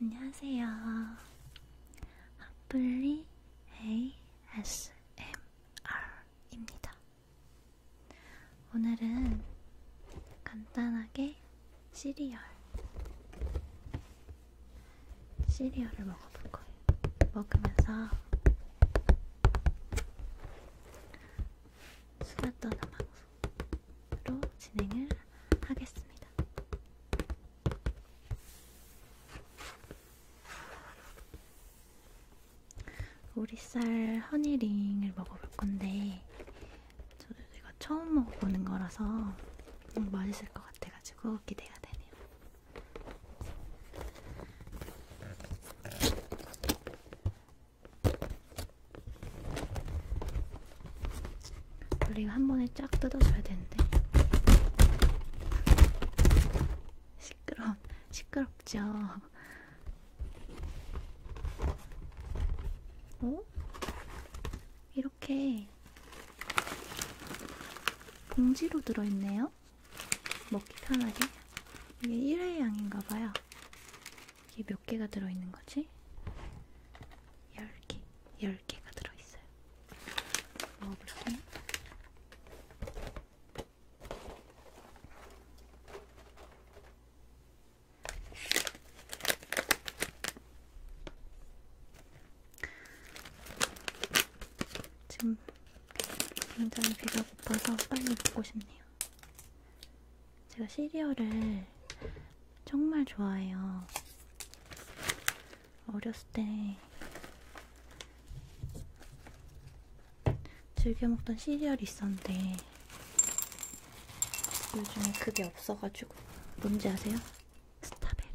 안녕하세요. 핫플리 ASMR입니다. 오늘은 간단하게 시리얼 시리얼을 먹어볼 거예요. 먹으면서 수다 떠는 방송. 로 진행을 하겠습니다. 오리쌀 허니링을 먹어볼 건데 저도 이거 처음 먹어보는 거라서 너무 맛있을 것 같아가지고 기대가 되네요. 원래 이거 한 번에 쫙 뜯어줘야 되는데 시끄러 시끄럽죠. 어? 이렇게 봉지로 들어있네요. 먹기 편하게. 이게 1회 양인가봐요. 이게 몇 개가 들어있는 거지? 10개, 10개가 들어있어요. 먹어볼게요. 지금 굉장히 배가 고파서 빨리 먹고 싶네요. 제가 시리얼을 정말 좋아해요. 어렸을 때 즐겨 먹던 시리얼이 있었는데 요즘에 그게 없어가지고 뭔지 아세요? 스타베리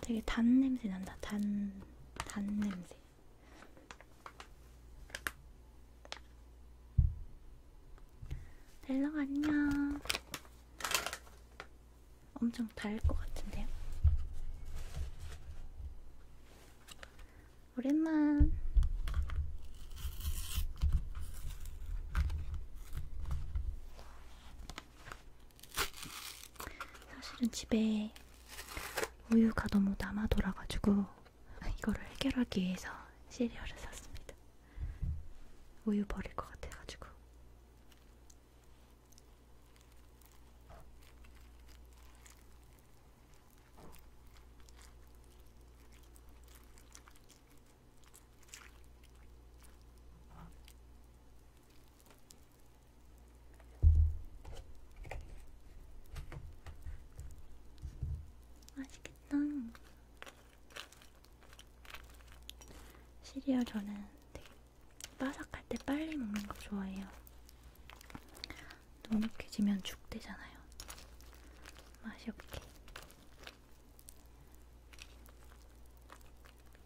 되게 단 냄새 난다 단, 단 냄새 델랑 안녕. 엄청 달 것 같은데요? 오랜만. 사실은 집에 우유가 너무 남아 돌아가지고 이거를 해결하기 위해서 시리얼을 샀습니다. 우유 버릴 것 같아가지고. 맛있겠다. 시리얼 저는 되게 바삭할 때 빨리 먹는 거 좋아해요. 눅눅해지면 죽되잖아요. 맛이 없게.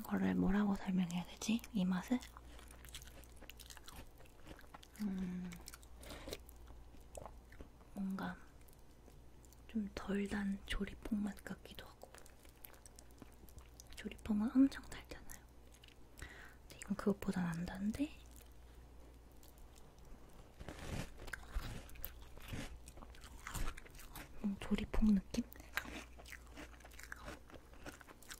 이거를 뭐라고 설명해야 되지? 이 맛을? 음, 뭔가 좀 덜 단 조리퐁 맛 같기도 하고 조리퐁은 엄청 달잖아요. 근데 이건 그것보단 안 단데? 음, 조리퐁 느낌?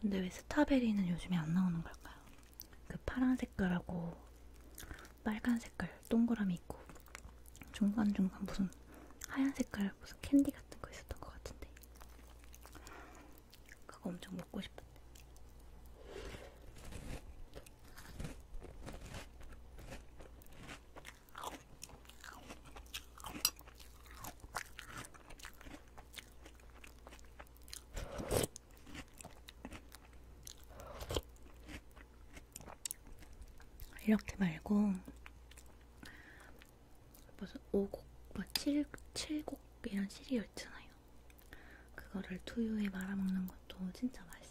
근데 왜 스타베리는 요즘에 안 나오는 걸까요? 그 파란 색깔하고 빨간 색깔 동그라미 있고 중간중간 무슨 하얀 색깔 무슨 캔디 같은 거 있었던 것 같은데 그거 엄청 먹고 싶었는데 이렇게 말고 무슨 5곡, 막 7, 7곡 이런 시리얼 있잖아요. 그거를 두유에 말아먹는 것도 진짜 맛있어요.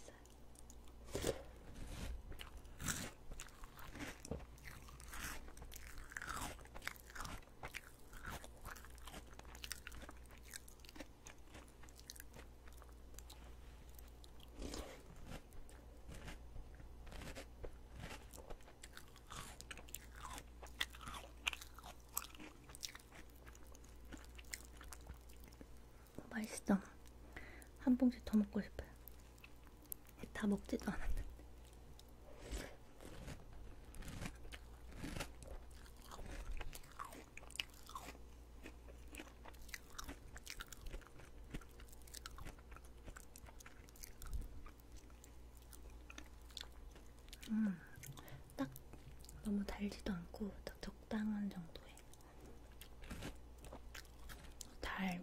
맛있어. 한 봉지 더 먹고 싶어요. 다 먹지도 않았는데. 음, 딱 너무 달지도 않고 딱 적당한 정도의 달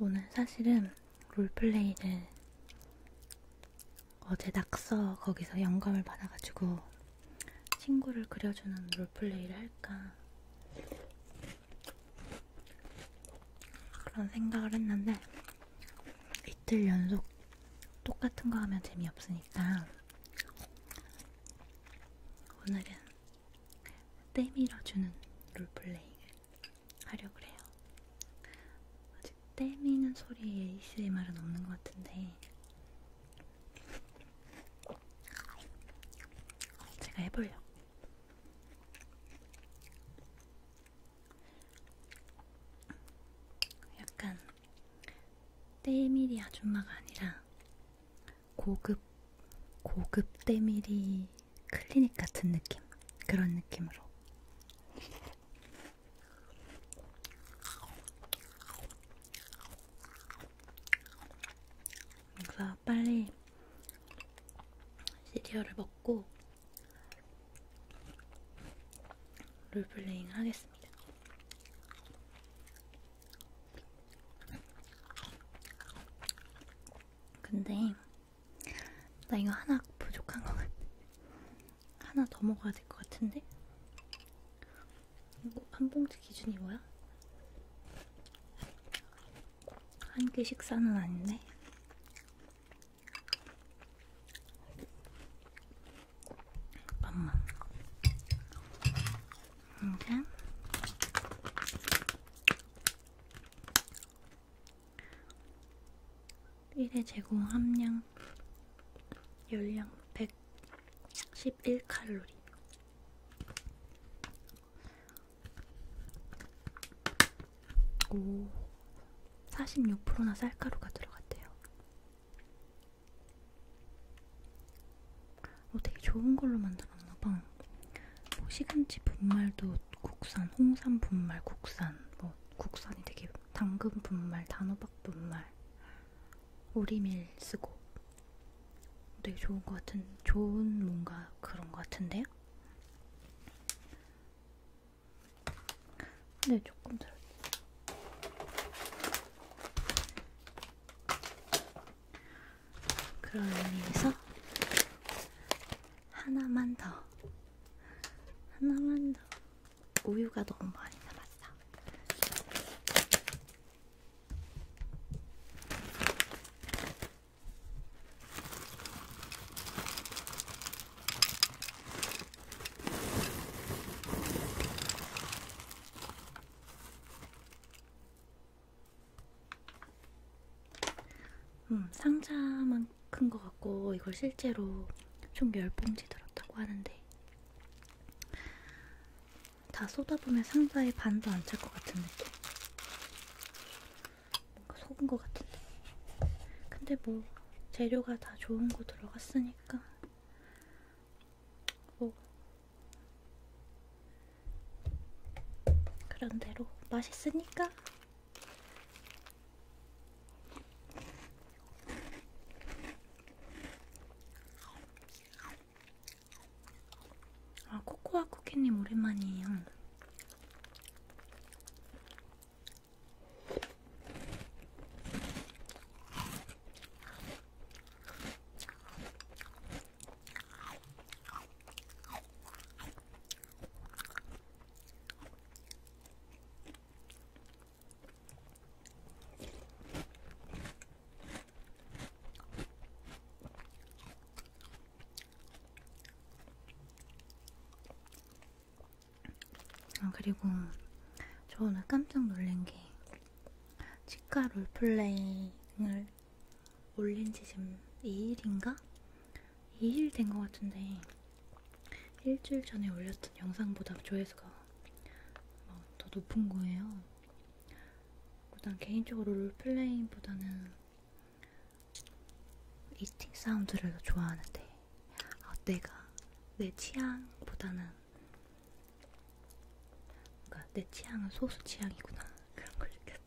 오늘 사실은 롤플레이를 어제 낙서 거기서 영감을 받아가지고 친구를 그려주는 롤플레이를 할까 그런 생각을 했는데 이틀 연속 똑같은 거 하면 재미없으니까 오늘은 때밀어주는 롤플레잉을 하려고 해요. 아직 때미는 소리에 ASMR은 없는 것 같은데 제가 해보려고. 약간 때밀이 아줌마가 아니라 고급 고급 때밀이 클리닉 같은 느낌 그런 느낌으로 그래서 빨리 시리얼을 먹고 롤플레잉 하겠습니다. 근데 나 이거 하나 부족한 것 같아. 하나 더 먹어야 될 것 같은데? 이거 한 봉지 기준이 뭐야? 한 끼 식사는 아닌데? 잠깐만. 인간 일의 제공 함량 열량 111칼로리 오 46%나 쌀가루가 들어갔대요. 어, 되게 좋은 걸로 만들었나봐. 뭐 시금치 분말도 국산, 홍삼 분말 국산, 뭐 국산이 되게 당근 분말, 단호박 분말, 오리밀 쓰고 되게 좋은 것 같은, 좋은 뭔가 그런 것 같은데요? 근데 네, 조금 들었지. 그런 의미에서 하나만 더 하나만 더 우유가 너무 많이 남았어 음, 상자만 큰 것 같고 이걸 실제로 총 10봉지 들었다고 하는데 다 쏟아보면 상자에 반도 안 찰 것 같은 느낌 뭔가 속은 것 같은데 근데 뭐 재료가 다 좋은 거 들어갔으니까 뭐 그런대로 맛있으니까 아 코코아 쿠키님 오랜만이에요 아, 그리고 저 오늘 깜짝 놀란 게 치과 롤플레잉을 올린 지 지금 2일인가? 2일 된 것 같은데 일주일 전에 올렸던 영상보다 조회수가 뭐 더 높은 거예요. 난 개인적으로 롤플레잉보다는 이팅 사운드를 더 좋아하는데 아, 내가 내 취향보다는 그러니까 내 취향은 소수 취향이구나 그런 걸 느꼈어.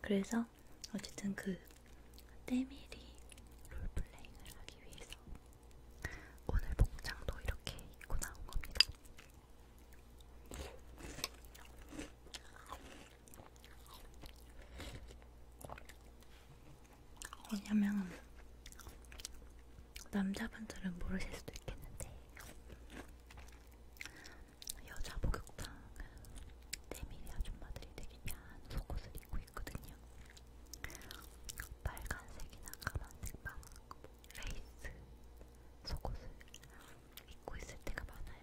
그래서 어쨌든 그 때밀이 롤플레잉을 하기 위해서 오늘 복장도 이렇게 입고 나온 겁니다. 왜냐면 남자분들은 모르실 수도 있겠는데 여자 목욕탕 내미리 아줌마들이 되게 야한 속옷을 입고 있거든요. 빨간색이나 까만색 막 레이스 속옷을 입고 있을 때가 많아요.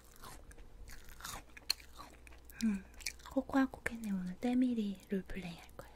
음, 코코아 코켓네 오늘 때밀이 롤플레이 할 거예요.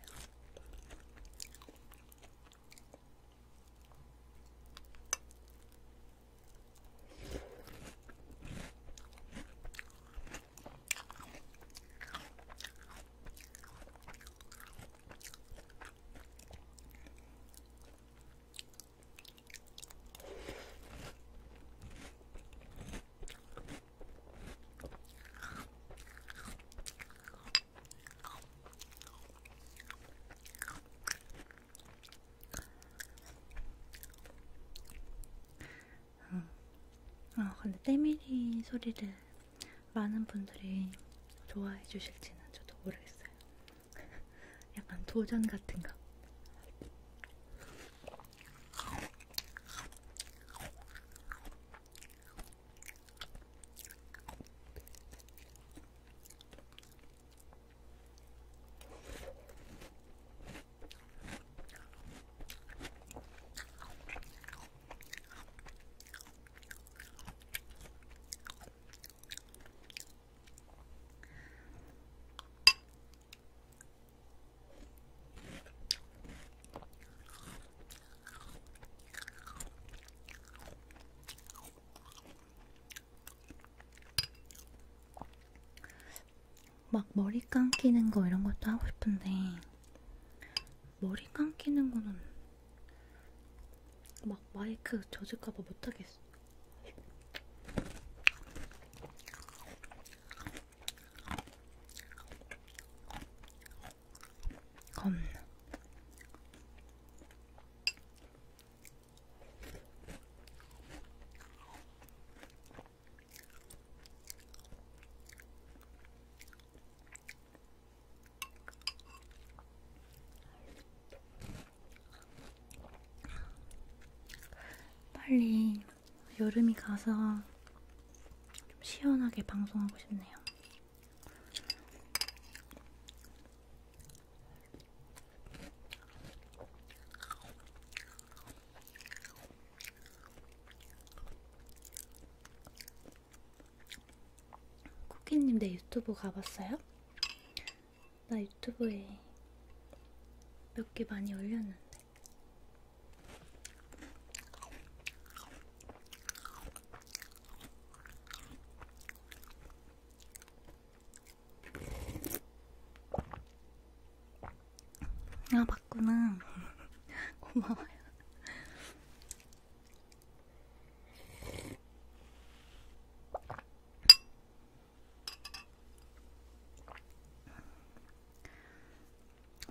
음. 아 근데 때밀이 소리를 많은 분들이 좋아해 주실지는 저도 모르겠어요. 약간 도전 같은 거. 막 머리 감기는 거 이런 것도 하고 싶은데 머리 감기는 거는 막 마이크 젖을까봐 못하겠어. 겁나. 빨리 여름이 가서 좀 시원하게 방송하고 싶네요. 쿠키님 내 유튜브 가봤어요? 나 유튜브에 몇 개 많이 올렸는데 아 맞구나 고마워요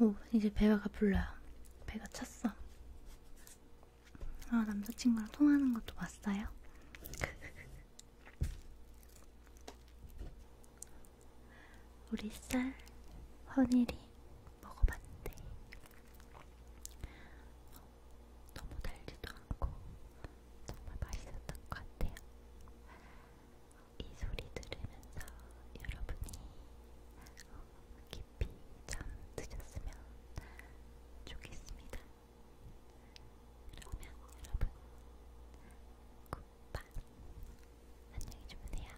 오, 이제 배가 불러요. 배가 찼어. 아, 남자친구랑 통화하는 것도 봤어요? 우리 쌀 허니리 먹어봤는데 너무 달지도 않고 정말 맛있었던 것 같아요. 이 소리 들으면서 여러분이 깊이 잠드셨으면 좋겠습니다. 그러면 여러분 굿밤 안녕히 주무세요.